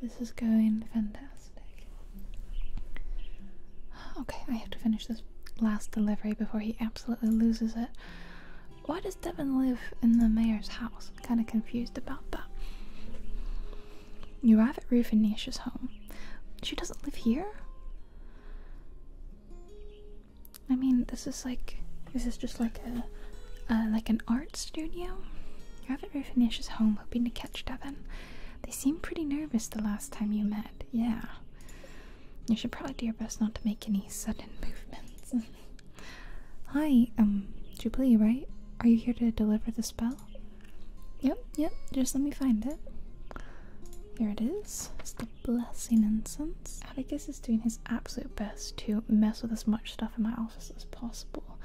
This is going fantastic. Okay, I have to finish this last delivery before he absolutely loses it. Why does Devin live in the mayor's house? kind of confused about that. You arrive at Rufinia's home. She doesn't live here? I mean, this is like, this is just like a, like an art studio. You have Rabbit Ruffinish is home hoping to catch Devin. They seem pretty nervous the last time you met, yeah. You should probably do your best not to make any sudden movements. Hi, um, Jubilee, right? Are you here to deliver the spell? Yep, yep, just let me find it. Here it is. its blessing incense. Atticus is doing his absolute best to mess with as much stuff in my office as possible,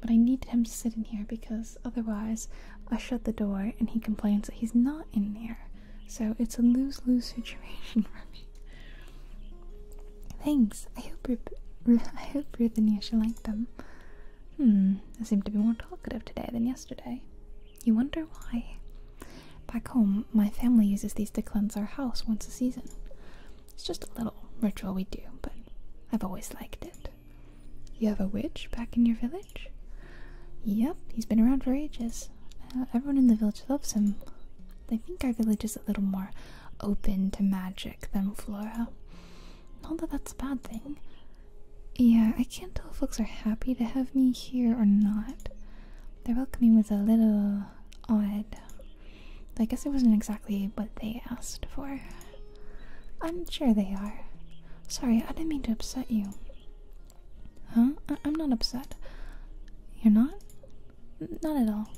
but I needed him to sit in here because otherwise I shut the door and he complains that he's not in there. So it's a lose lose situation for me. Thanks. I hope Ruth, I hope like them. Hmm, I seem to be more talkative today than yesterday. You wonder why? Back home, my family uses these to cleanse our house once a season. It's just a little ritual we do, but I've always liked it. You have a witch back in your village? Yep, he's been around for ages. Uh, everyone in the village loves him. I think our village is a little more open to magic than Flora. Not that that's a bad thing. Yeah, I can't tell if folks are happy to have me here or not. Their welcoming was a little odd. I guess it wasn't exactly what they asked for. I'm sure they are. Sorry, I didn't mean to upset you. Huh? I am not upset. You're not? Not at all.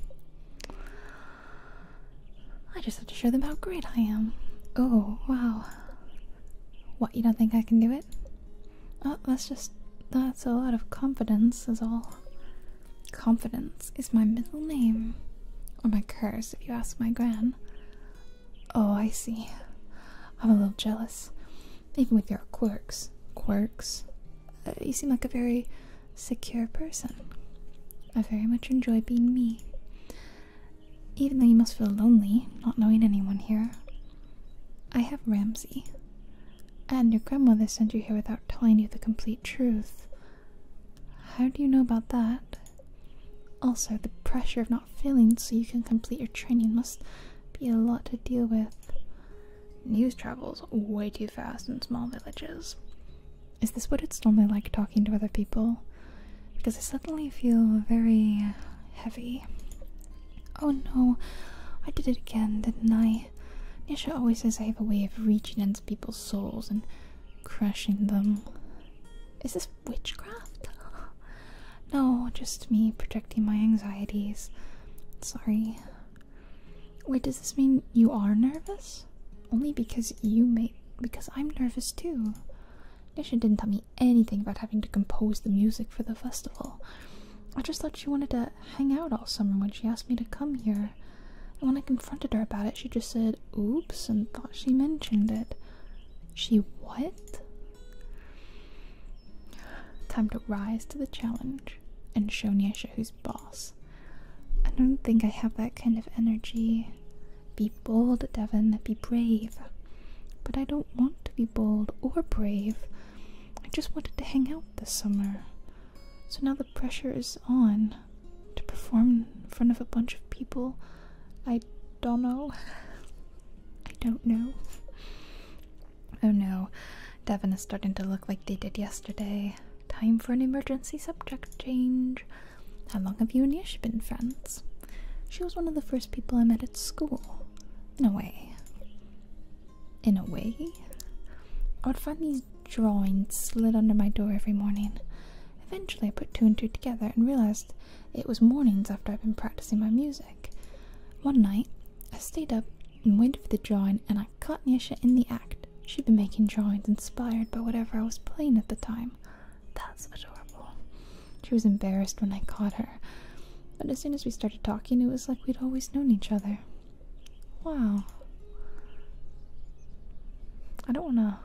I just have to show them how great I am. Oh, wow. What, you don't think I can do it? Oh, that's just that's a lot of confidence is all. Confidence is my middle name. Or my curse, if you ask my gran. Oh, I see. I'm a little jealous. Even with your quirks. Quirks? Uh, you seem like a very secure person. I very much enjoy being me. Even though you must feel lonely, not knowing anyone here. I have Ramsey. And your grandmother sent you here without telling you the complete truth. How do you know about that? Also, the pressure of not failing so you can complete your training must be a lot to deal with. News travels way too fast in small villages. Is this what it's normally like talking to other people? Because I suddenly feel very heavy. Oh no, I did it again, didn't I? Nisha always says I have a way of reaching into people's souls and crushing them. Is this witchcraft? no, just me projecting my anxieties. Sorry. Wait, does this mean you are nervous? Only because you made. because I'm nervous too. Nisha didn't tell me anything about having to compose the music for the festival. I just thought she wanted to hang out all summer when she asked me to come here. when I confronted her about it, she just said, oops, and thought she mentioned it. She what? Time to rise to the challenge and show Nyesha who's boss. I don't think I have that kind of energy. Be bold, Devon. Be brave. But I don't want to be bold or brave. I just wanted to hang out this summer. So now the pressure is on to perform in front of a bunch of people. I don't know. I don't know. Oh no, Devon is starting to look like they did yesterday. Time for an emergency subject change. How long have you and Yash been friends? She was one of the first people I met at school in a way. In a way? I would find these drawings slid under my door every morning. Eventually, I put two and two together and realized it was mornings after I'd been practicing my music. One night, I stayed up and waited for the drawing, and I caught Nisha in the act. She'd been making drawings inspired by whatever I was playing at the time. That's adorable. She was embarrassed when I caught her, but as soon as we started talking, it was like we'd always known each other. Wow. I don't wanna.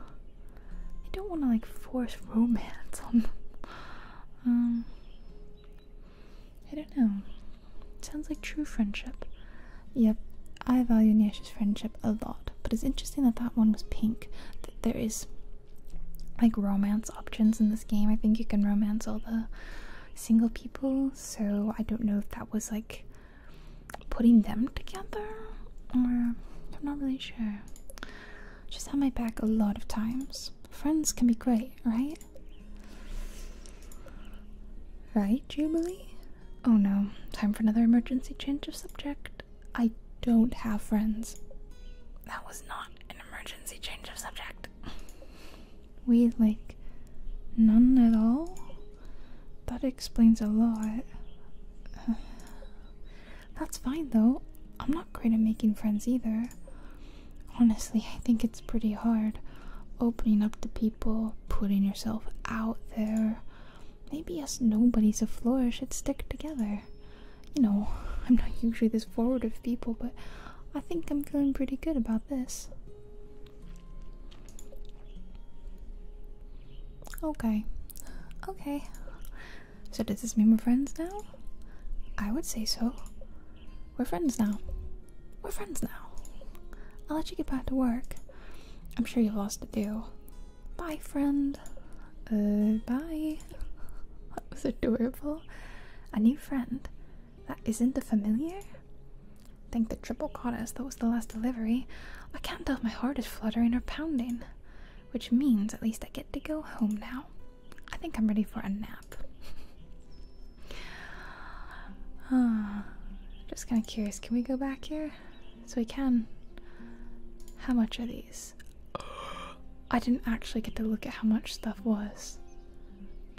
I don't wanna like force romance on Um. I don't know. sounds like true friendship. Yep, I value Niasha's friendship a lot, but it's interesting that that one was pink. That there is like romance options in this game. I think you can romance all the single people, so I don't know if that was like putting them together or I'm not really sure. She's had my back a lot of times. Friends can be great, right? Right, Jubilee? Oh no, time for another emergency change of subject. I don't have friends. That was not an emergency emergency change of subject. We like none at all? That explains a lot. that's fine though. I'm not great at making friends either. Honestly, I think it's pretty hard opening up to people, putting yourself out there. Maybe us nobodies afloor should stick together. You know, I'm not usually this forward of people, but I think I'm feeling pretty good about this. Okay, okay. So, does this mean we're friends now? I would say so. We're friends now. We're friends now. I'll let you get back to work. I'm sure you've lost to deal. Bye, friend. Uh, bye. That was adorable a new friend that isn't a familiar. I think the triple caught That was the last delivery. I can't tell if my heart is fluttering or pounding, which means at least I get to go home now. I think I'm ready for a nap. huh. Ah, just kind of curious. Can we go back here? So we can. How much are these? I didn't actually get to look at how much stuff was.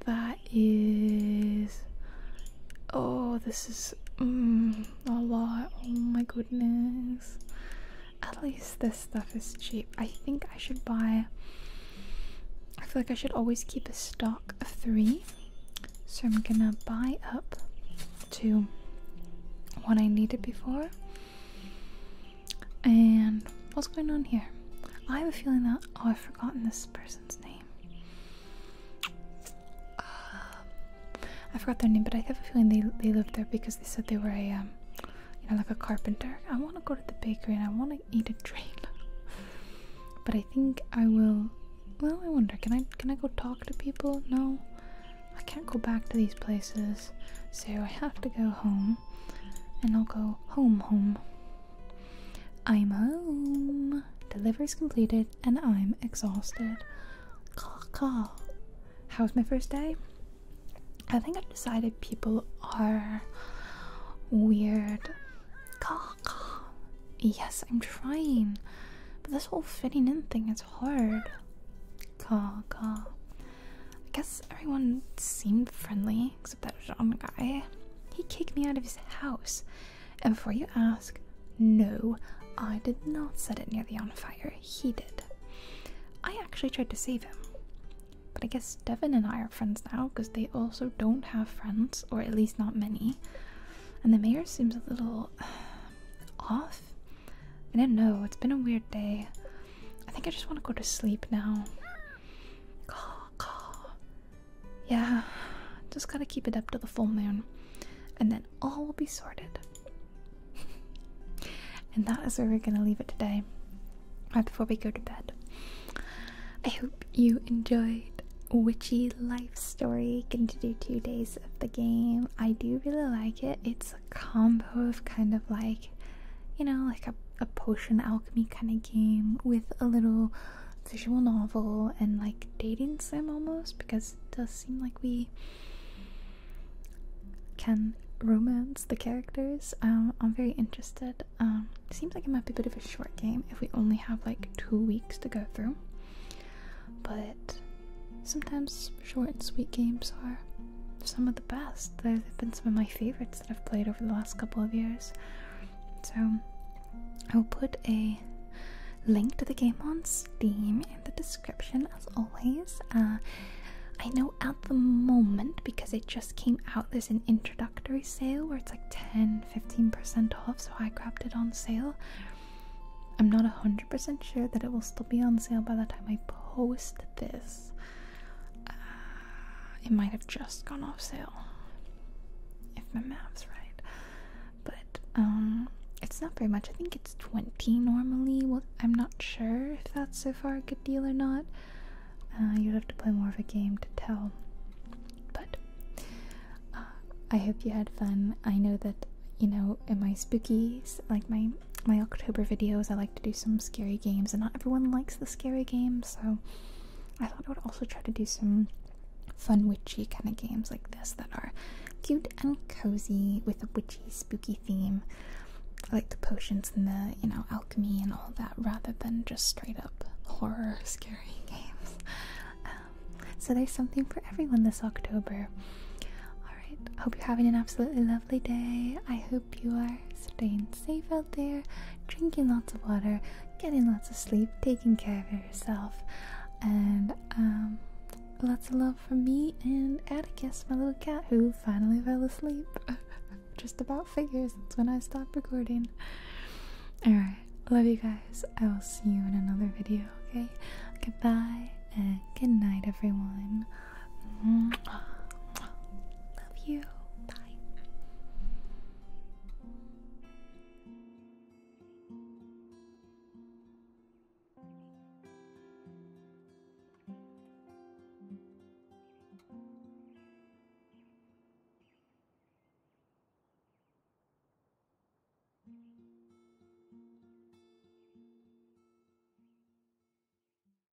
That is. Oh, this is mm, a lot. Oh my goodness. At least this stuff is cheap. I think I should buy. I feel like I should always keep a stock of three. So I'm gonna buy up to what I needed before. And what's going on here? I have a feeling that oh, I've forgotten this person's name. Uh, I forgot their name, but I have a feeling they they lived there because they said they were a um, you know like a carpenter. I want to go to the bakery and I want to eat a dream. but I think I will. Well, I wonder. Can I can I go talk to people? No, I can't go back to these places so I have to go home. And I'll go home, home. I'm home. Delivery's completed, and I'm exhausted. Call, call. How was my first day? I think I've decided people are weird. Call, call. Yes, I'm trying, but this whole fitting in thing is hard. Call, call. I guess everyone seemed friendly except that Jean guy. He kicked me out of his house. And before you ask, no, I did not set it nearly on fire. He did. I actually tried to save him. But I guess Devin and I are friends now because they also don't have friends, or at least not many. And the mayor seems a little uh, off. I don't know, it's been a weird day. I think I just want to go to sleep now. Yeah, just gotta keep it up to the full moon, and then all will be sorted. and that is where we're gonna leave it today, right before we go to bed. I hope you enjoyed Witchy Life Story. Getting to do two days of the game. I do really like it. It's a combo of kind of like, you know, like a a potion alchemy kind of game with a little visual novel and like dating sim almost because it does seem like we can romance the characters. Um, I'm very interested. Um, seems like it might be a bit of a short game if we only have like two weeks to go through, but sometimes short and sweet games are some of the best. They've been some of my favorites that I've played over the last couple of years. So I'll put a link to the game on Steam in the description as always. Uh, I know at the moment, because it just came out, there's an introductory sale where it's like 10 15% off, so I grabbed it on sale. I'm not 100% sure that it will still be on sale by the time I post this, uh, it might have just gone off sale, if my math's right. But um, it's not very much. I think it's twenty normally. Well, I'm not sure if that's so far a good deal or not. Uh, you'd have to play more of a game to tell. But uh, I hope you had fun. I know that you know in my spookies, like my my October videos, I like to do some scary games, and not everyone likes the scary games, so I thought I would also try to do some fun witchy kind of games like this that are cute and cozy with a witchy, spooky theme. I like the potions and the, you know, alchemy and all that rather than just straight up horror, scary games. Um, so there's something for everyone this October. Alright, hope you're having an absolutely lovely day. I hope you are staying safe out there, drinking lots of water, getting lots of sleep, taking care of yourself, and um, lots of love for me and Atticus, my little cat, who finally fell asleep. Just about figures, that's when I stopped recording. Alright, love you guys. I will see you in another video, okay? Goodbye and good night, everyone. Love you. Bye.